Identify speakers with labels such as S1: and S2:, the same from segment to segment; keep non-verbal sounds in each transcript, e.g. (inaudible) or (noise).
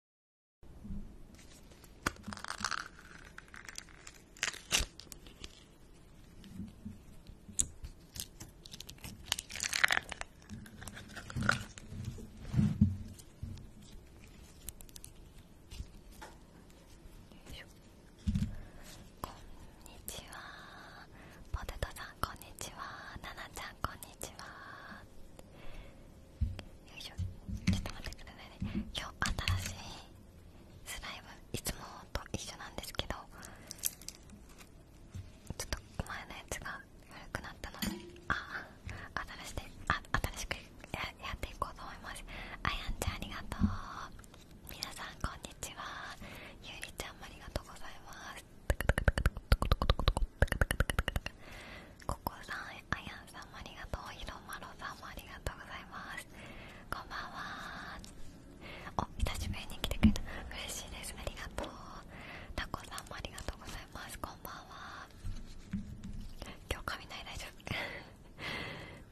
S1: こんにちはポテトさんこんにちはナナちゃんこんにちはよいしょちょっと待ってくださいね今日新しいスライムいつもと一緒なんですけどちょっと前のやつが悪くなったのでああ新しあ新しくややっていこうと思いますあやんちゃんありがとう皆さんこんにちはゆうりちゃんもありがとうございますここさん、あやんさんもありがとうひろまろさんもありがとうございますこんばんはお、久しぶりに来てくれた嬉しいです、ありがとうタコさんもありがとうございます、こんばんは今日雷大丈夫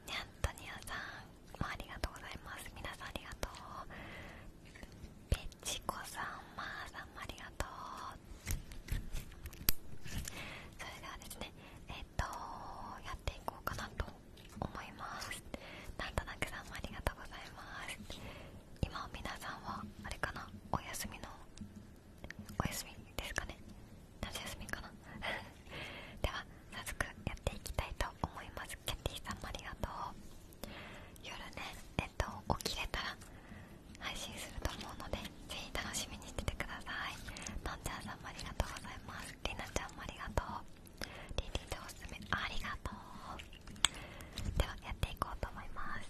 S1: ニャんトニアさんもありがとうございます皆さんありがとうペチコさん、まーさんもありがとうそれではですねえっ、とやっていこうかなと思いますなんとなくさんもありがとうございます今皆さんはあれかなお休みのお休みですかね夏休みかな (laughs) では早速やっていきたいと思いますケャティさんもありがとう夜ねえっ、と起きれたら配信すると思うのでぜひ楽しみにしててくださいのんちゃんさんもありがとうございますりなちゃんもありがとうりりとおすすめありがとうではやっていこうと思います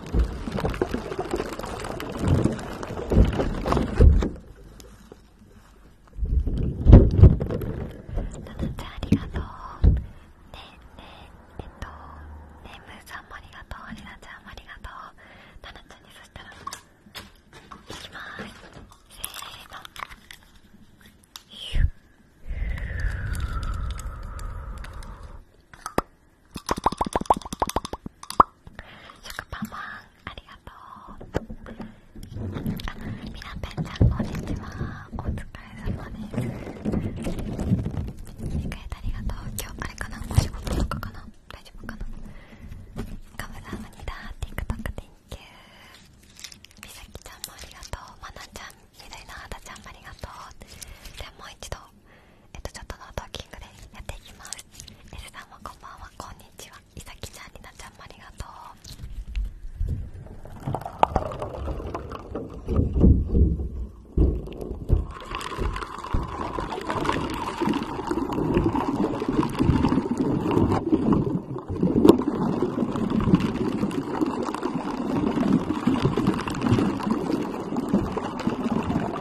S1: ちゃん、ありがとうねえねええっとねむーちゃんもありがとうりなちゃんもありがとうたなちゃんにそしたらいきますせのシュッシュッ食パンマンありがとうあみなぺんちゃんこんにちはお疲れ様です切り替えてありがとう今日あれかなお仕事とかかな大丈夫かなカムサムニダー TikTok Thank you みさきちゃんもありがとうまなちゃんみどりのあだちゃんもありがとうでもう一度えっとちょっとノートーキングでやっていきます S さんもこんばんはこんにちはいさきちゃんりなちゃんもありがとう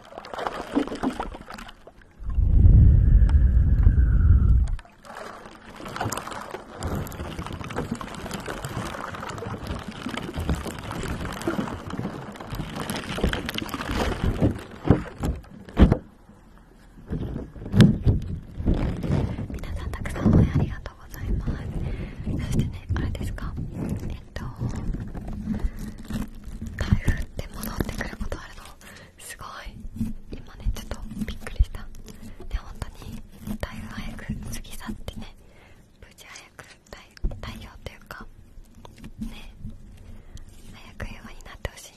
S1: 皆さんたくさん応援ありがとうございますそしてねあれですかえっ、台風って戻ってくることあるのすごい今ねちょっとびっくりしたで本当に台風早く過ぎ去ってね無事早く太陽というかね早く平和になってほしい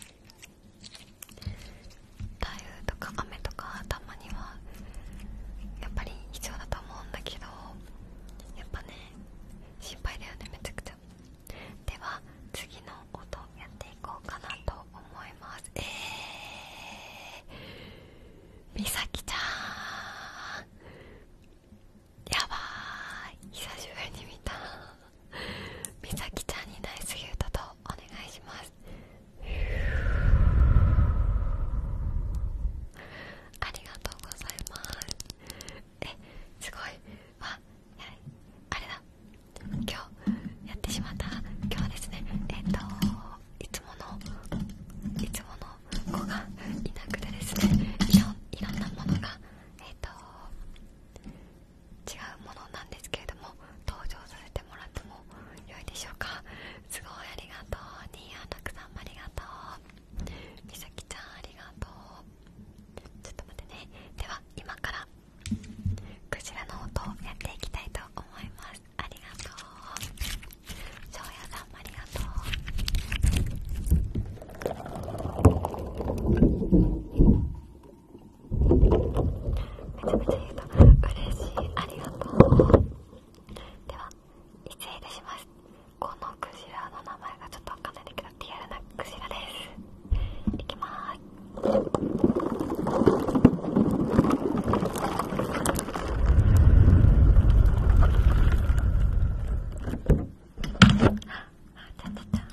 S1: 台風とか雨とかたまにはやっぱり必要だと思うんだけどやっぱね心配だよねめちゃくちゃでは次の音やっていこうかなと思いますえーみさきちゃんやばい久しぶりに見たみさきちゃんにナイスギュートとお願いしますありがとうございますすごいわやあれだ今日やってしまった今日はですねえっ、といつものいつもの子がいなくてですねいろいろんなものがえっ、と違うものなんですけれども登場させてもらっても良いでしょうかすごいありがとうにーアンラさんありがとうみさきちゃんありがとうちょっと待ってねでは今からクジラの音をやっていきたいと思いますありがとうしょうやさんもありがとうめちゃめちゃいうと嬉しいありがとうでは失礼いたしますこのクジラの名前がちょっとわかんないんだけどリアルなクジラですいきまーすあちゃちゃちゃあ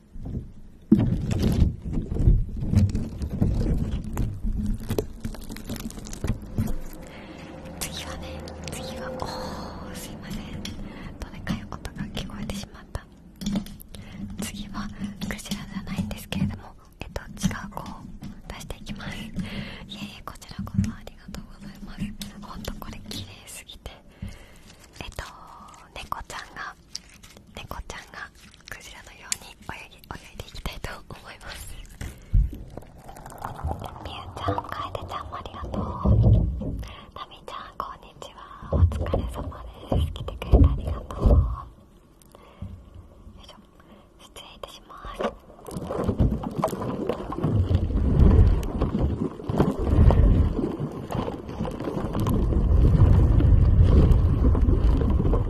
S1: 次はね次はおーすいませんどね。かい音が聞こえてしまった次はクジラじゃないんですけれどもえっと違う子を出していきますいえいえこちらこそありがとうございますほんとこれ綺麗すぎてえっと猫ちゃんがは猫ちゃんがクジラのように泳ぎ泳いでいきたいと思いますみゆちゃん、かえでちゃんもありがとうなみちゃん、こんにちはお疲れ様です来てくれてありがとうよいしょ失礼いたします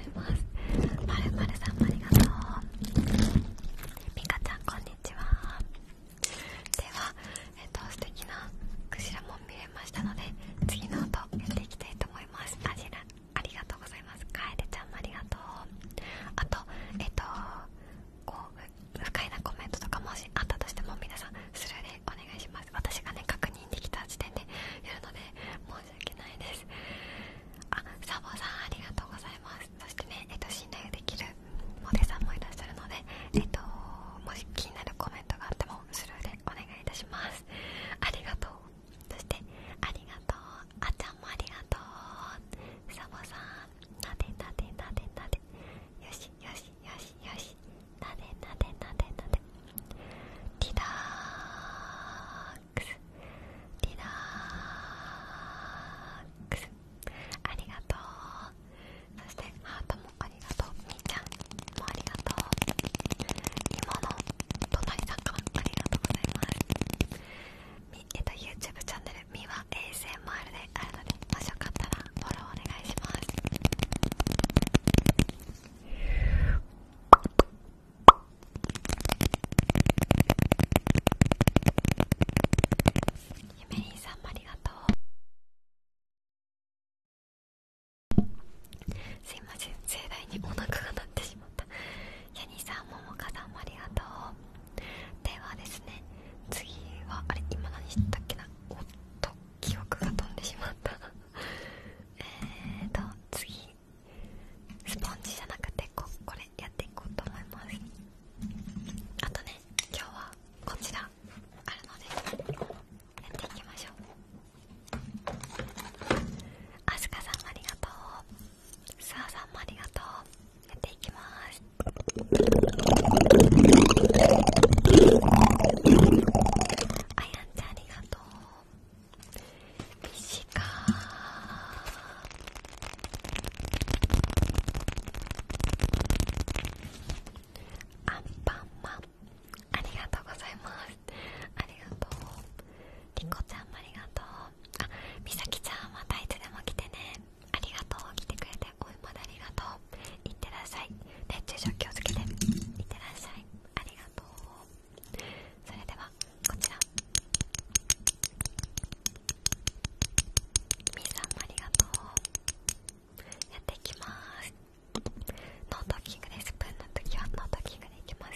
S1: ざいますまるまるさんもありがとうみかちゃんこんにちはではえっと素敵なクジラも見れましたので次の音やっていきたいと思いますあじらありがとうございますカエルちゃんもありがとうあとえっとこう不快なコメントとかもしあったとしても皆さんスルーでお願いします私がね確認できた時点で申し訳ないですあサボさんありがとうございますそしてねえっと信頼できるモデさんもいらっしゃるのでえっともし気になるコメントがあってもスルーでお願いいたしますありがとうそしてありがとうあちゃんもありがとうサボさんなでなでなでなでよしよしよしよしなでなでなでなでテダーックスリラックスありがとうそしてハートもありがとうみーちゃんもありがとう今の隣さんからありがとうございますみ、えっと、YouTube チャンネルみは ASMR であるのでもしよかったらフォローお願いしますゆめりんさんもありがとうすいません盛大にお腹が鳴ってしまったヤニさんももかさんもありがとうではですね次はあれ今何したっけなおっと記憶が飛んでしまったえーと次スポンジじゃなくてここれやっていこうと思いますあとね今日はこちらあるのでやっていきましょうあすかさんもありがとうすあさんもありがとうやっていきますあやんちゃんありがとう短いアンパンマンありがとうございますありがとうりんこちゃんもありがとうあみさきちゃんまたいつでも来てねありがとう来てくれておいまだありがとういってらっしゃい熱中症気をつけていってらっしゃいありがとうそれではこちらみーさんありがとうやっていきますノートキングでスプーンの時はノートキングでいきます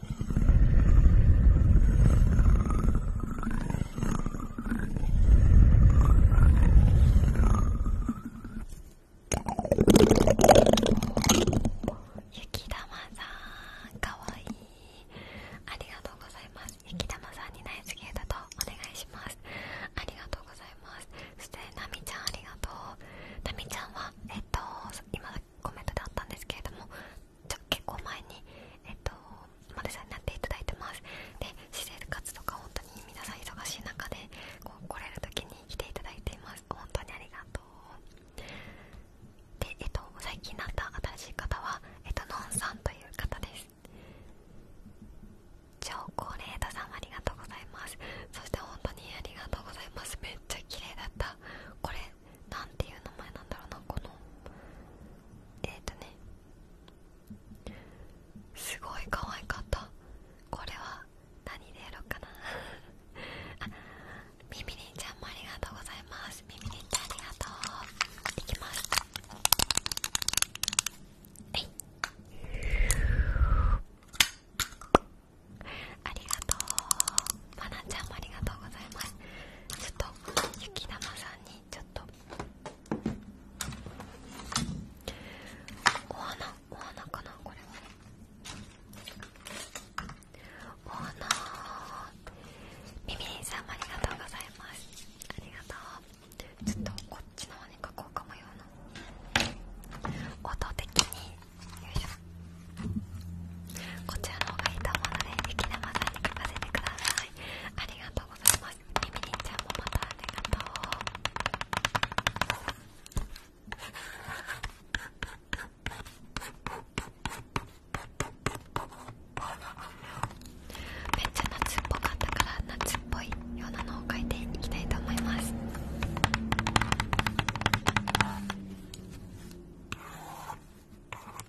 S1: 雪玉さんかわいいありがとうございます雪玉さんにナイスゲーだとお願いしますありがとうございますそしてなみちゃんありがとうなみちゃんはえっと今コメントであったんですけれども結構前に、えっと、モデルさんになっていただいてますで私生活とか本当に皆さん忙しい中でこう来れる時に来ていただいています本当にありがとうで、えっと、最近なった新しい方は、えっと、のんさんという方です超高齢太さんありがとうございますそして本当にありがとうございますめっちゃ綺麗だったこれなんていう名前なんだろうなこのえっ、とねすごい可愛かったこれは何でやろうかなあみみりんちゃんもありがとうございますみみりんちゃんありがとうできました。はいありがとうまなちゃんもありがとうございますちょっと雪玉さんにちょっとお花お花かなこれはお花みみりんさんもありがとうございますありがとうちょっとこっちの方に書こうかもような音的によいしょこちらの方がいいと思うので、雪玉さんに書かせてください。ありがとうございます。みみりんちゃんもまたありがとう。めっちゃ夏っぽかったから夏っぽいようなのを書いていきたいと思います。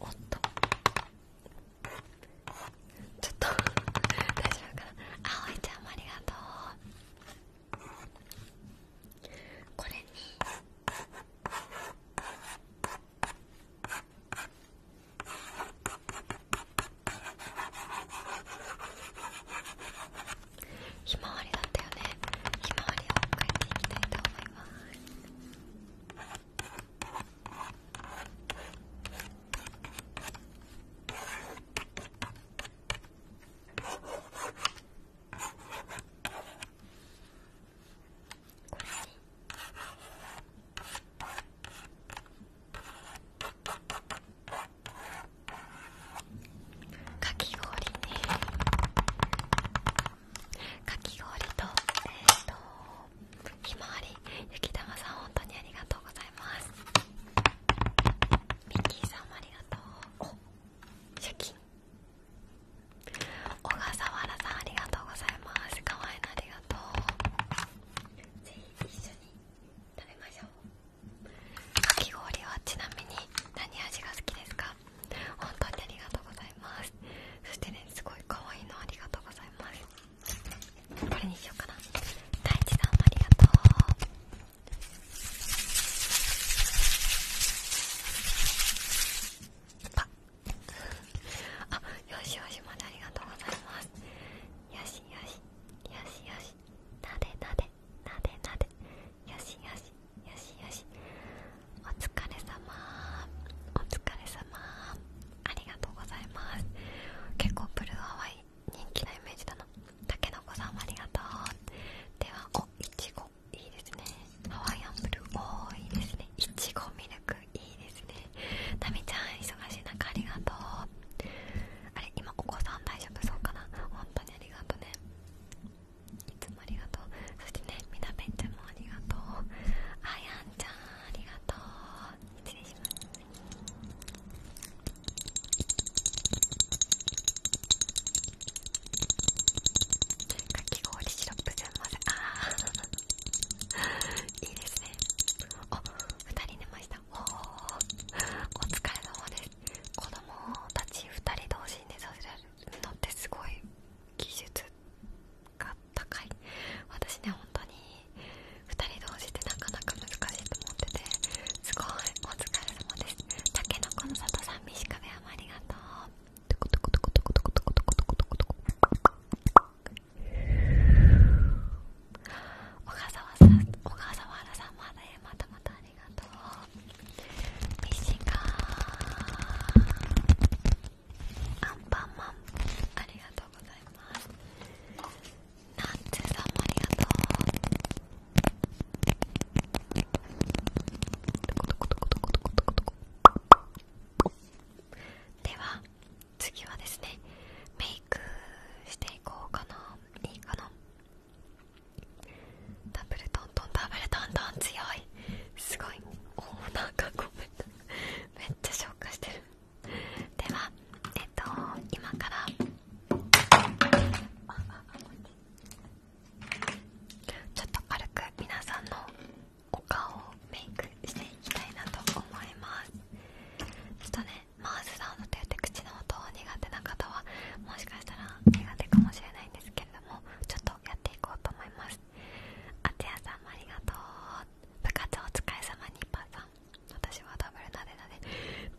S1: おっとちょっと大丈夫かなあおいちゃんもありがとうこれにひまわりだったよねひまわりを描いていきたいと思いますかき氷ねかき氷とえっ、とひまわり雪玉さん本当にありがとうございますミッキーさんもありがとうおシャキン小笠原さんありがとうございますかわいのありがとうぜひ一緒に食べましょうかき氷はちなみに何味が好きですか本当にありがとうございますそしてねすごい可愛いのありがとうございますこれにしようかな大地さんもありがとうパッあよしよしまでありがとうございますよしよしよしよしなでなでなでなでよしよしよしよしお疲れ様お疲れ様ありがとうございます結構ブルーハワイ人気なイメージだなたけのこさんもありがとうではおいちごいいですねハワイアンブルーおいいですねいちごミルクいいですねタみちゃん忙しい中ありがとうあれ今お子さん大丈夫そうかな本当にありがとねいつもありがとうそしてねみなべんちゃんもありがとうあやんちゃんありがとう失礼しますいいですねお二人寝ましたおお疲れ様です子供たち二人同士に寝させらるのってすごい技術が高い私ね本当に2人同士ってなかなか難しいと思っててすごいお疲れ様ですたけのこの里さんみしかべあまりがとうトコトコトコトコトコトコトコトコトコトコ小笠原さんまでまたまたありがとうミッシンガーアンパンマンありがとうございますナッツさんもありがとうでは次はですねメイクしていこうかないいかなダブルトントンダブルトントン強い。すごいおーなんかごめんめっちゃ消化してるではえっと今からちょっと軽く皆さんのお顔をメイクしていきたいなと思いますちょっとねマウスサウンドといって口の音苦手な方はもしかしたら苦手かもしれないんですけれどもちょっとやっていこうと思いますあつやさんもありがとう部活お疲れ様ッパさん私はダブルなでなで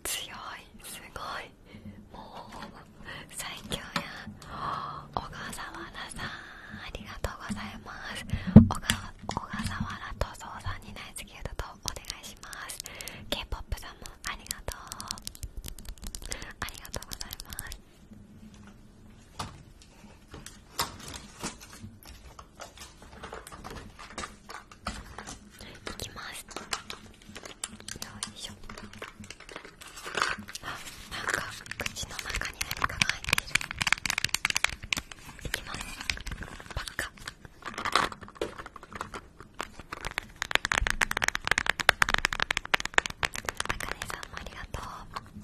S1: 強いすごいもう最強や小笠原さんありがとうございます小笠原とそうさんにナイスギルドとお願いします K-POP さんもありがとうありがとうございますいきますよいしょあなんか口の中に何かが入ってるいきますパッカあかねさんもありがとう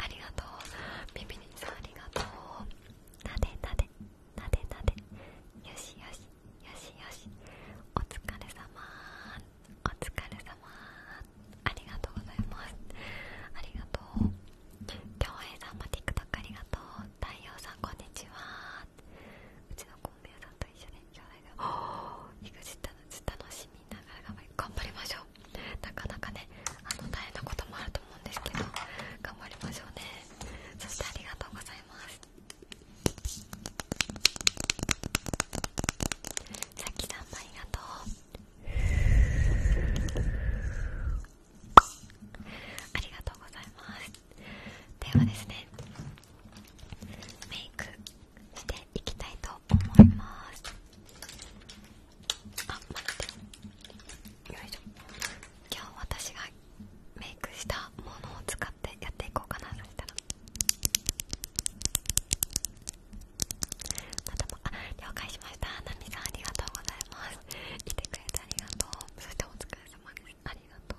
S1: ありがとう耳にさんありがとうなでなでなでなでよしよしよしよしお疲れ様お疲れ様ありがとうございますありがとう恭平さんも TikTok ありがとう太陽さんこんにちはうちのコンビニさ一緒に兄弟が育児楽しみながら頑張りましょうなかなかねあの大変なこともあると思うんですけど頑張りましょうねそしてありがとうございますさきさんもありがとうありがとうございますではですねメイクしていきたいと思いますあ待ってよいしょ今日私がメイクしたものを使ってやっていこうかなそしたらまたもあ了解しましたナミさんありがとうございます来てくれてありがとうそしてお疲れ様ですありがとう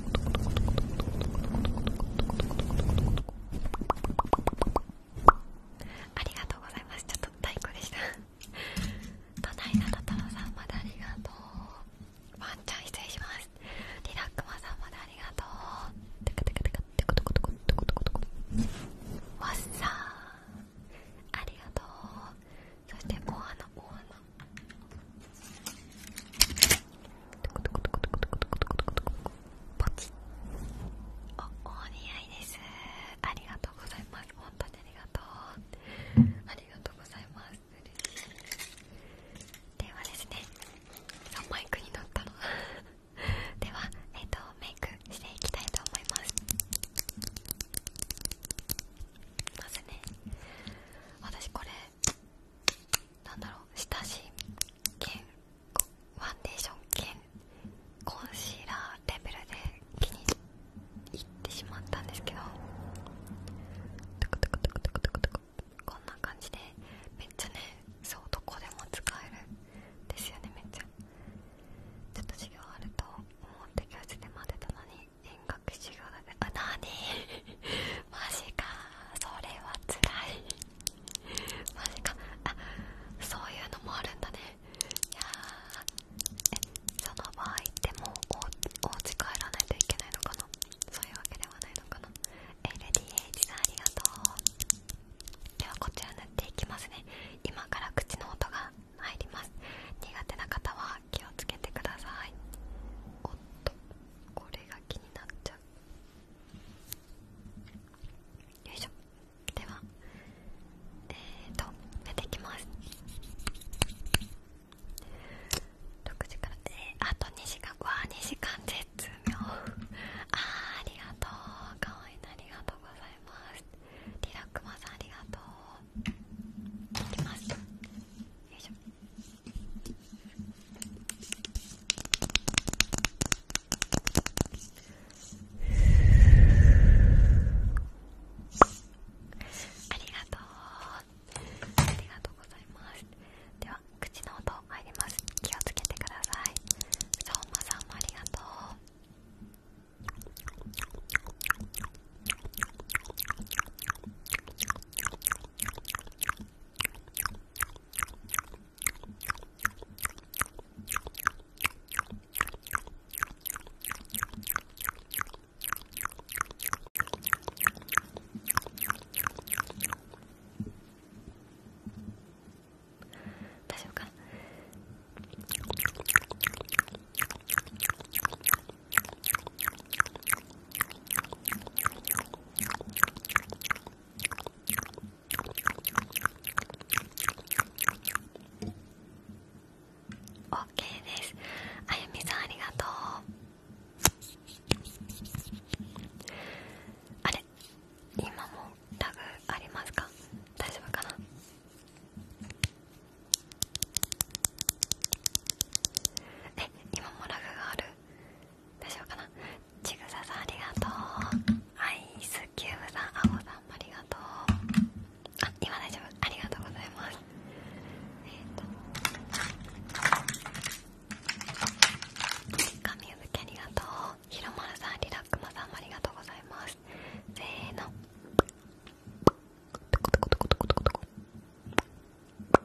S1: ありがとうございますちょっと太鼓でした都いなたたろさんまでありがとうワンちゃん失礼しますリラックマさんまでありがとうテカテカテカテクテクテクテクテクテクワッサーありがとうそして、お花、お花、ポチおお似合いですありがとうございます本当にありがとうありがとうございます嬉しいではですね3マイクになったの (laughs) ではえっ、とメイクしていきたいと思いますまずね私これなんだろう下地兼ファンデーション兼コンシーラーレベルで気に入ってしまったんですけどトクトクトクトクトクトクこんな感じでめっちゃねそうどこでも使えるんですよねめっちゃちょっと授業あると思って教室で待ってたのに遠隔授業だねあな (laughs) マジかそれはつらいマジかあそういうのもあるんだねいやその場合でもお家帰らないといけないのかなそういうわけではないのかな LDH さありがとうではこちら塗っていきますね今から口の音が入ります苦手な方は気をつけてくださいおっとこれが気になっちゃうよいしょではえっとやてきます6時からえあと2時間わあ2時間絶妙あーありがとうかわいいなありがとうございますリラックマさんありがとうできました。よいしょありがとうありがとうございますでは口の音入ります気をつけてください相馬さんもありがとう大丈夫か OK ですあゆみさんありがとうあれ今もラグありますか大丈夫かなえ今もラグがある大丈夫かなちぐささんありがとうアイスキューブさんあごさんもありがとうあ今大丈夫ありがとうございますえっ、と神ゆずきありがとうひろまるさんリラックマさんもありがとうございますせーのトコトコトコトコトコトコトコ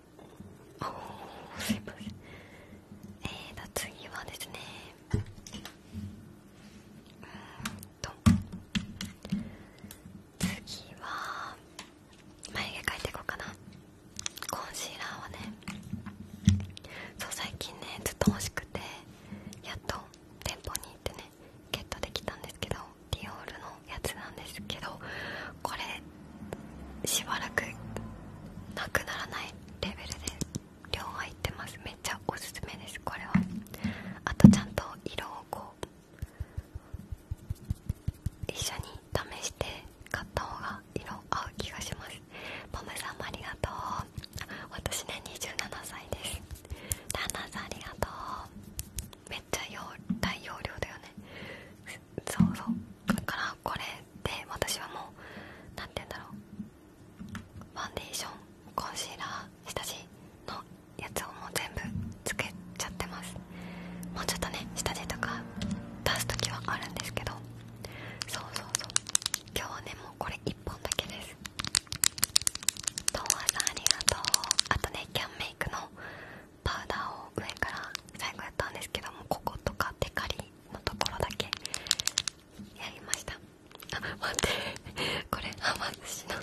S1: おすいませんえーと次はですねうんと次は眉毛描いていこうかなコンシーラーはねそう最近ねずっと欲しくてやっと店舗に行ってねゲットできたんですけどディオールのやつなんですけどこれしばらくなくならないレベルで量入ってますめっちゃおすすめですこれはあとちゃんと色をこう一緒に試して買った方が色合う気がしますポムさんもありがとう私ね27歳です旦那さんありがとうめっちゃ大容量だよねそうそうだからこれで私はもう何て言うんだろうファンデーションコンシーラー下地のやつをもう全部つけちゃってますもうちょっとね下地とか出す時はあるんですけどそうそうそう今日はねもうこれ1本だけですとわマさんありがとうあとねキャンメイクのパウダーを上から最後やったんですけどもこことかテカリのところだけやりましたあ待って (laughs) これはま寿司の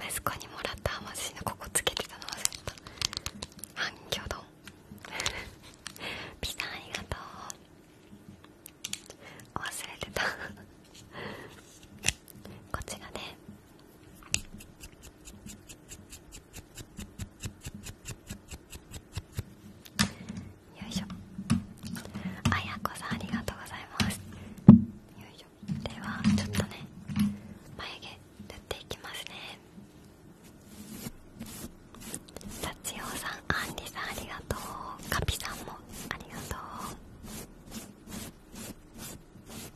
S1: 息子にもらったはま寿司のここつけてたの忘れた反響丼 (laughs) ピザありがとう忘れてた (laughs) こちらでよいしょあやこさんありがとうございますよいしょではちょっとね眉毛塗っていきますねさちおさんあんりさんありがとうカピさんもありがとう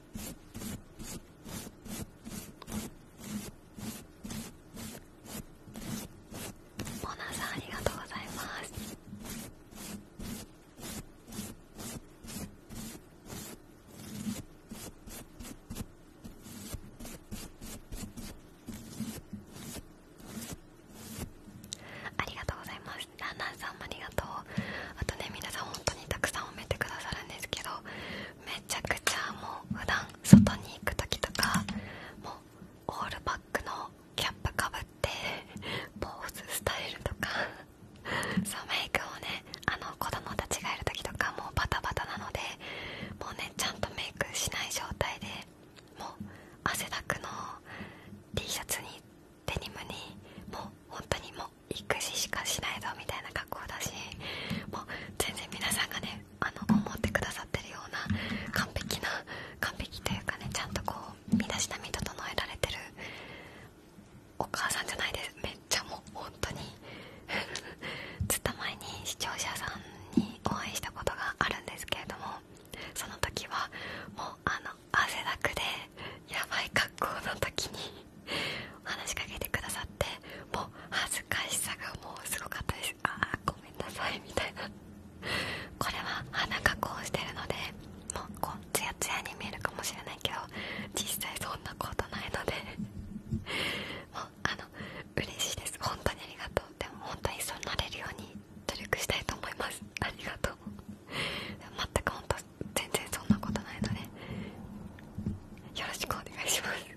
S1: モナありがとうございますありがとうございますランさんもありがとうあとね皆さん本当にたくさん褒めてくださるんですけどめちゃくちゃもう普段外に行く時とかもうオールバックのキャップかぶってポーズスタイルとかそうメイクをねあの子供たちがいる時とかもうバタバタなのでもうねちゃんとメイクしない状態でもう汗だくの T シャツにデニムにもう本当にもう育児しかしないぞみたいな格好だしもう全然皆さんがねあの思ってくださってるような完璧な完璧というかねちゃんとこう身だしなみ整えられてるお母さんじゃないですめっちゃもう本当に (laughs) ずった前に視聴者さんにお会いしたことがあるんですけれどもその時はもうあの汗だくでやばい格好の時に話しかけてくださってもう恥ずかしさがもうすごかったですああごめんなさいみたいなこれは鼻加工してるのでもうこうツヤツヤに見えるかもしれないけど実際そんなことないのでもうあの嬉しいです本当にありがとうでも本当にそうなれるように努力したいと思いますありがとう全く本当全然そんなことないのでよろしくお願いします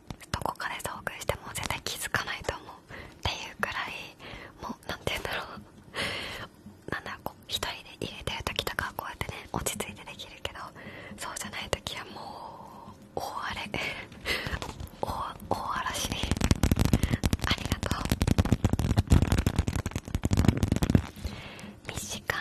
S1: どこかで遭遇しても絶対気づかないと思うっていうくらいもう何て言うんだろうなんだこう一人で入れてる時とかこうやってね落ち着いてできるけどそうじゃない時はもう大荒れ大大嵐にありがとうミシカー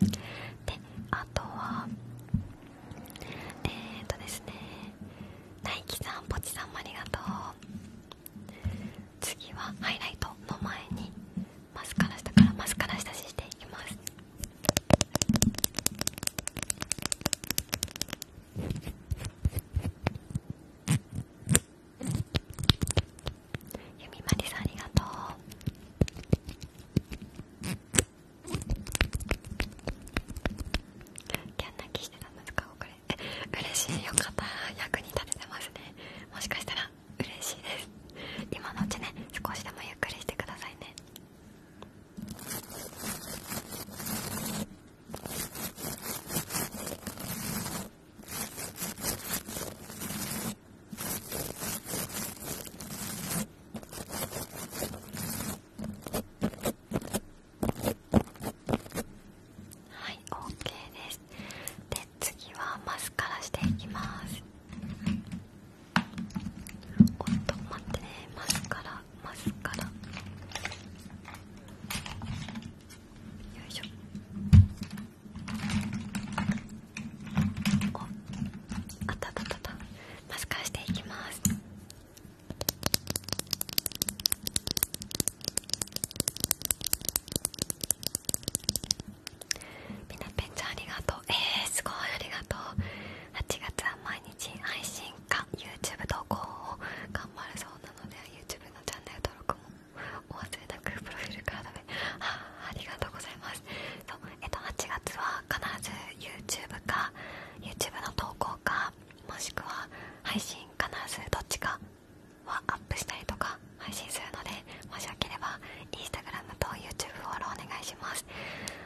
S1: であとはえっとですね大樹さんポちさんもありがとう次はハイライトの前にマスカラ下からマスカラ下地していきますゆみまりさんありがとうキャン泣きしてたんですかこれえ嬉しいよかった役に立ててますねもしかしたら嬉しいです今のうちね少しでもゆっくりしてくださいねはい、OK です。で、次はマスカラしていきます。おっと、待ってね、マスカラ、マスカラ。よいしょ。お、あったあったあった。マスカしていきますみんなペンちゃんありがとうえー、すごいありがとう8月は毎日配信か YouTube 投稿を頑張るそうなので YouTube のチャンネル登録もお忘れなくプロフィールカードで。あありがとうございますそうえっと、8月は必ず YouTube か YouTube の投稿かもしくは配信必ずどっちかはアップしたりとか配信するのでもしよければ Instagram と YouTube フォローお願いします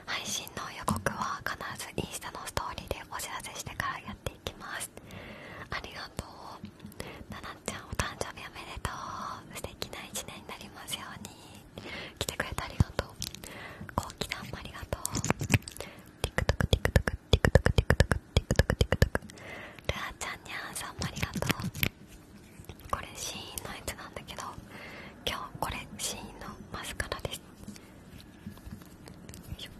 S1: 配信の予告は必ずインスタのストーリーでお知らせしてからやっていきますありがとうななちゃんお誕生日おめでとう素敵な1年になりますように来てくれてありがとうこうきさんもありがとう TikTokTikTokTikTokTikTokTikTok ルアちゃんにゃんさんもありがとうこれシーンのやつなんだけど今日これシーンのマスカラですよいしょ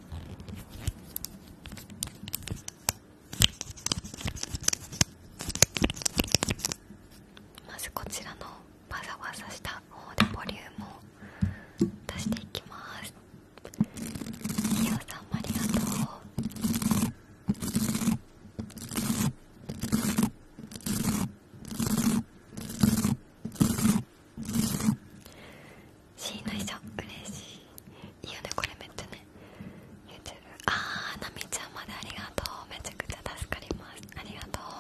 S1: まずこちらのわざわざしたボリュームをしていきますひよさんありがとう嬉しいいいよねこれめっちゃねああなみちゃんまでありがとうめちゃくちゃ助かりますありがとう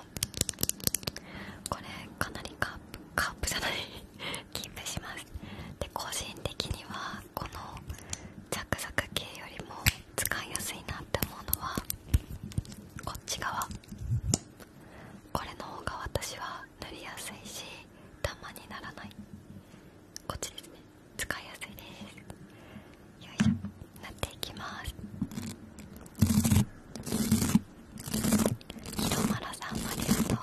S1: これかなりカープカープじゃないキープしますで個人的にはこのザクザク系よりも使いやすいなって思うのはこっち側これの方が私は塗りやすいしダマにならないこっちですね使いやすいですいしょなっていきますひろまらさんあと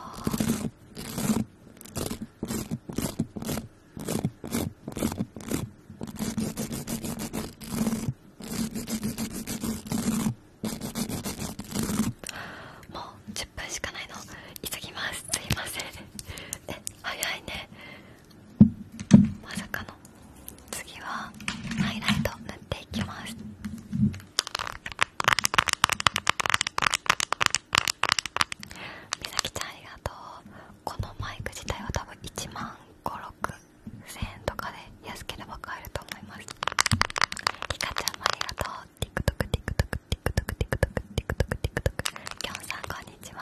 S1: もう1分しかないの急ぎますすいませんえ早いねまさかの次はハイライト塗っていきますみさきちゃんありがとうこのマイク自体は多分1万56 0円とかで安ければ買えると思いますりカちゃんもありがとう TikTokTikTokTikTokTikTokTikTok きょんさんこんにちは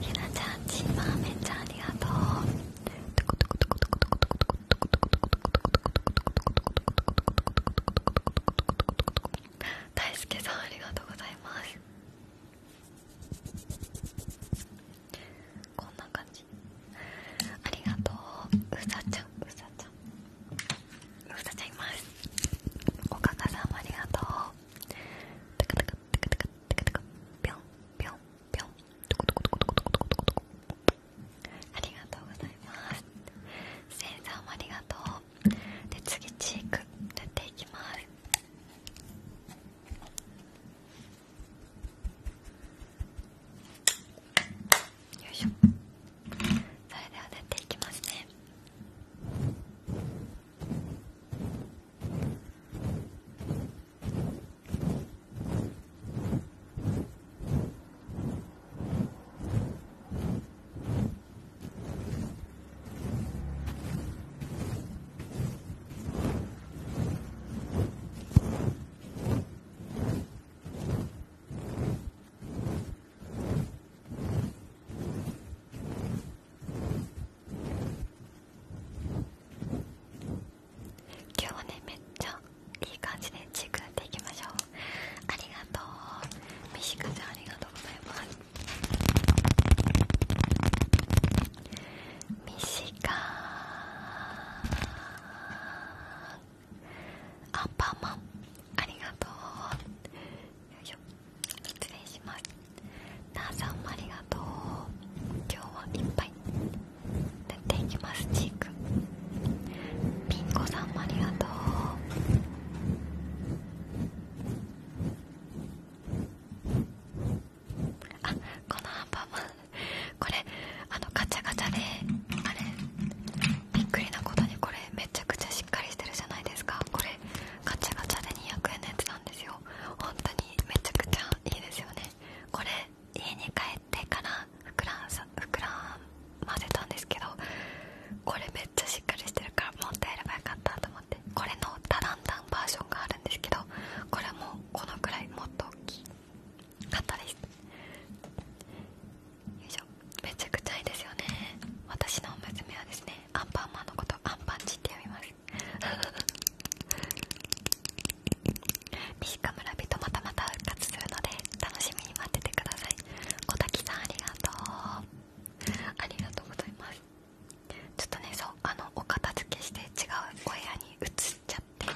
S1: ひなちゃんチーバーめっちゃありがとう大輔さんありがとうございますこんな感じありがとううさちゃんうさちゃんうさちゃんいますおかかさんもありがとうテクテクテクテクテクテクぴょんぴょんぴょんトコトとトコトコトコトコトコありがとうございますセンサーもありがとうで次チーク塗っていきますよいしょそれでは塗っていきますねはい今日はねめっちゃいい感じでチーク塗っていきましょうありがとうみしかちゃんありがとうございますミシカアンパンマンありがとうよいしょ失礼しますなあさんもありがとう今日はいっぱい塗っていきますチークピンコさんもありがとうあこのアンパンマンこれあのガチャガチャであれびっくりなことにこれめちゃくちゃしっかりしてるじゃないですかこれガチャガチャで200円のやつなんですよ本当にめちゃくちゃいいですよねこれ家に帰ってから膨らんさ膨らませたんですけどこれめっちゃしっかりしてるからもったやればよかったと思ってこれのタランタンバージョンがあるんですけどこれもこのくらいもっと大きい買ったですよいしょめちゃくちゃいいですよね私の娘はですねアンパンマンのことアンパンチって呼びます西川 (laughs) 村人またまた復活するので楽しみに待っててください小滝さんありがとうありがとうございますちょっとねそうあのお片付けして違うお部屋に移ちゃって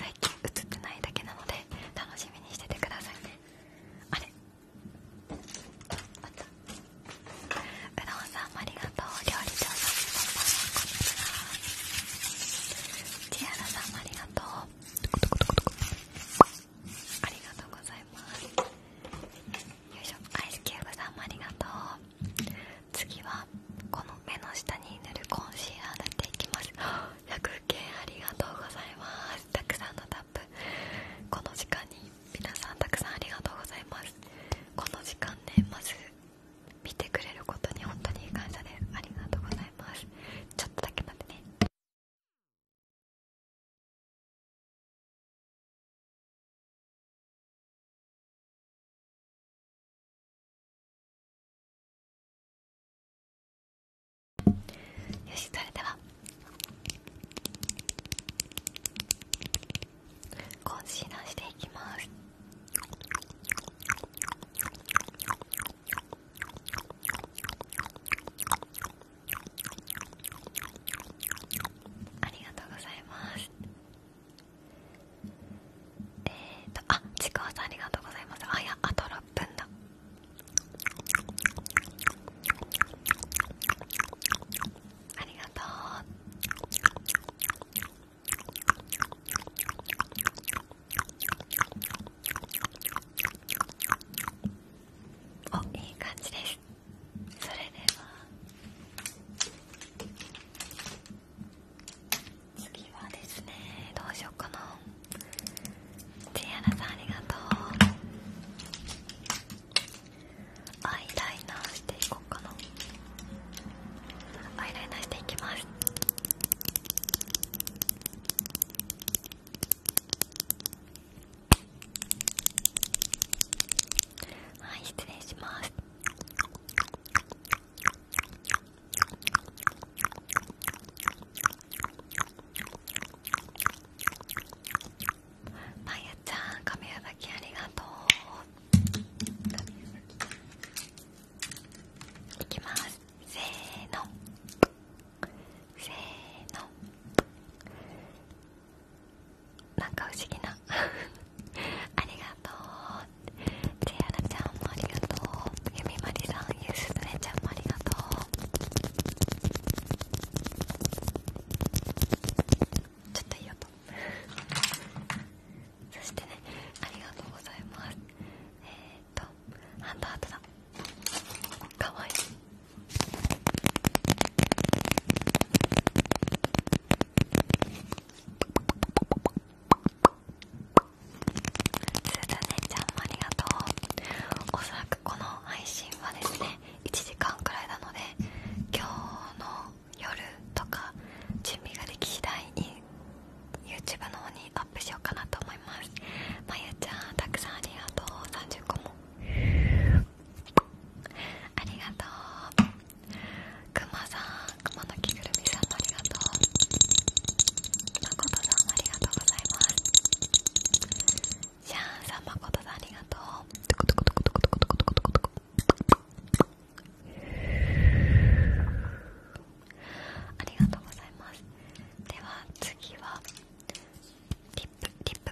S1: 最近映ってないだけなので楽しみにしててくださいねあれあったうどんさんもありがとう料理長さんアラさんもありがとうありがとうございますよいしょアイスキューブさんもありがとう次はこの目の下に塗るコンシーラー塗っていきます100件ありがとうございますたくさんのタップこの時間に皆さんたくさんありがとうございますこの時間ねまず見てくれることに本当に感謝ですありがとうございますちょっとだけ待ってねよしそれではコンシしていきますありがとうございますえっ、とあちくわさんありがとうございますあやアト分だありがとうおいい感じですそれでは次はですねどうしようかなチアラさんありがとうアイライナーしていこうかなアイライナーしていきますはい失礼しますまやちゃん、亀やばきありがとう。亀やばき。いきます。せーの。せーの。なんか不思議な (laughs) ありがとうチェアラちゃんもありがとうゆみまりさんういうすずめちゃんもありがとうちょっといい音そしてねありがとうございますえー、っとハンドアートだかわいいすずねちゃんもありがとうおそらくこの配信はですね1時間くらいなので今日の夜とか準備ができ次第に YouTube の方にアップしようかなと思いますまゆちゃんたくさんありがとう30個もありがとうくまさんくまのぐるみさんもありがとうまことさんもありがとうございますシャーさんまことさんありがとうありがとうございますでは次はリップリップ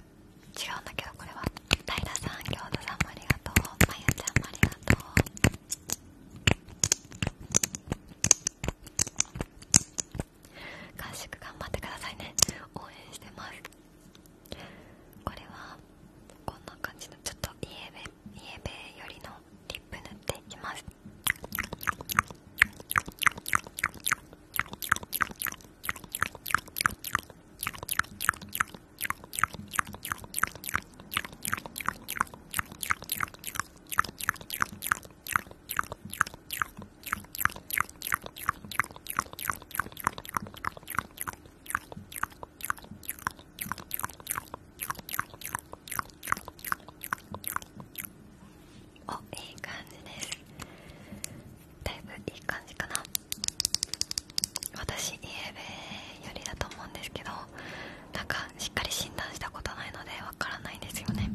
S1: 違うんだけどこれは平さん京都さんもありがとうまゆちゃんもありがとう合宿頑張ってくださいね応援してますこれはこんな感じのちょっとイエベイエベよりのリップ塗っていきますおいい感じですだいぶいい感じかな私イエベよりだと思うんですけどなんかしっかり診断したことないのでわからないんですよね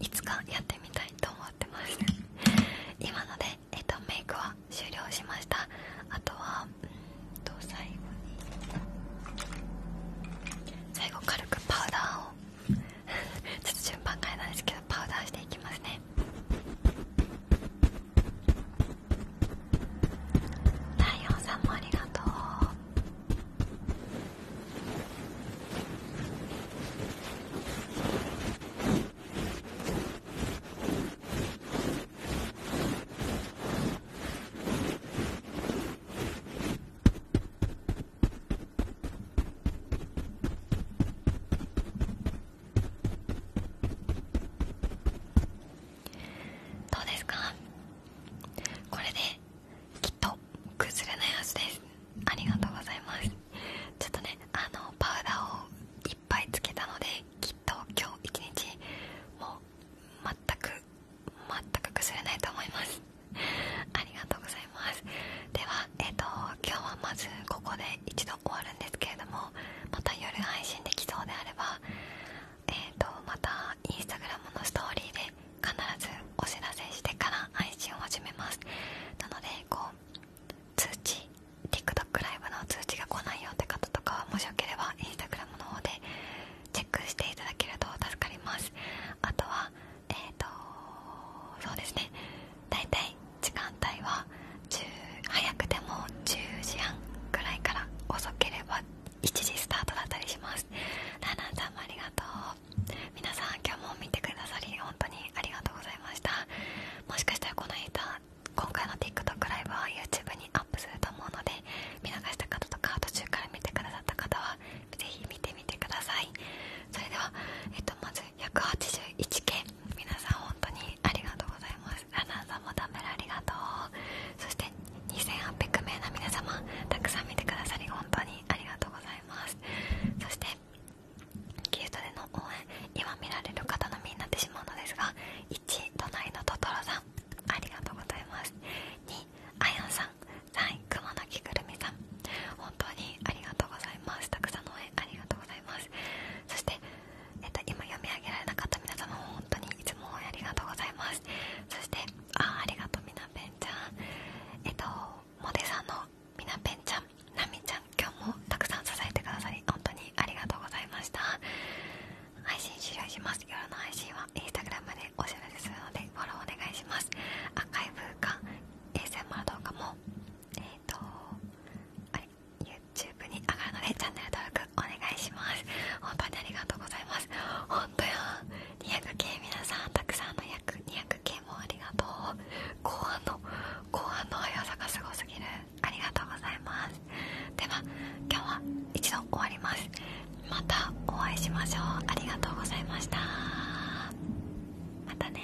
S1: いつかやってみたいと思ってます今ので、えと、メイクは終了しましたあとはうんと最後に最後軽くパウダーを (laughs) ちょっと順番変えたんですけどパウダーしていきますねライオンさんもありがとうどうですかこれできっと崩れないはずですありがとうございますちょっとねあのパウダーをいっぱいつけたのできっと今日一日もう全く全く崩れないと思いますありがとうございますではえっ、と今日はまずここで一度終わるんですけれどもまた夜配信できそうであればえっ、とまたインスタグラムのストーリーで必ずお知らせしてから配信を始めますなのでこう通知 TikTok ライブの通知が来ないよって方とかはもしよければ i n s t a g r の方でチェックしていただけると助かりますあとはえっ、とそうですね大体時間帯は10早くても10時半くらいから遅ければ1時スタートだったりしますラナンちんもありがとう皆さん今日も見てくださり本当にありがとうございましたもしかしたらこの間今回の TikTok ライブは YouTube にアップすると思うので見逃した方とか途中から見てくださった方はぜひ見てみてくださいそれでは、えっと、まず1 8 1件、皆さん本当にありがとうございますラナンさんもダメだ。ありがとうそして2800名の皆様たくさん見てくださり本当にありがとうございますそしてキュートでの応援今見られる方のみになってしまうのですが1隣のトトロさんありがとうございます2あやんさん3位くまのきくるみさん本当にありがとうございますたくさんの応援ありがとうございますそして、えっと、今読み上げられなかった皆様も本当にいつも応援ありがとうございますそしてあありがとうみなぺんちゃんえっとモデさんのみなぺんちゃんなみちゃん今日もたくさん支えてくださり本当にありがとうございました配信終了します夜の配信はインスタグラムでお知らせするのでフォローお願いしますアーカイブか ASMR 動画もえっ、とあれ YouTube に上がるのでチャンネル登録お願いします本当にありがとうございます本200系皆さんたくさんの役200系もありがとう後半の後半の速さがすごすぎるありがとうございますでは今日は一度終わりますまたお会いしましょうありがとうございましたまたね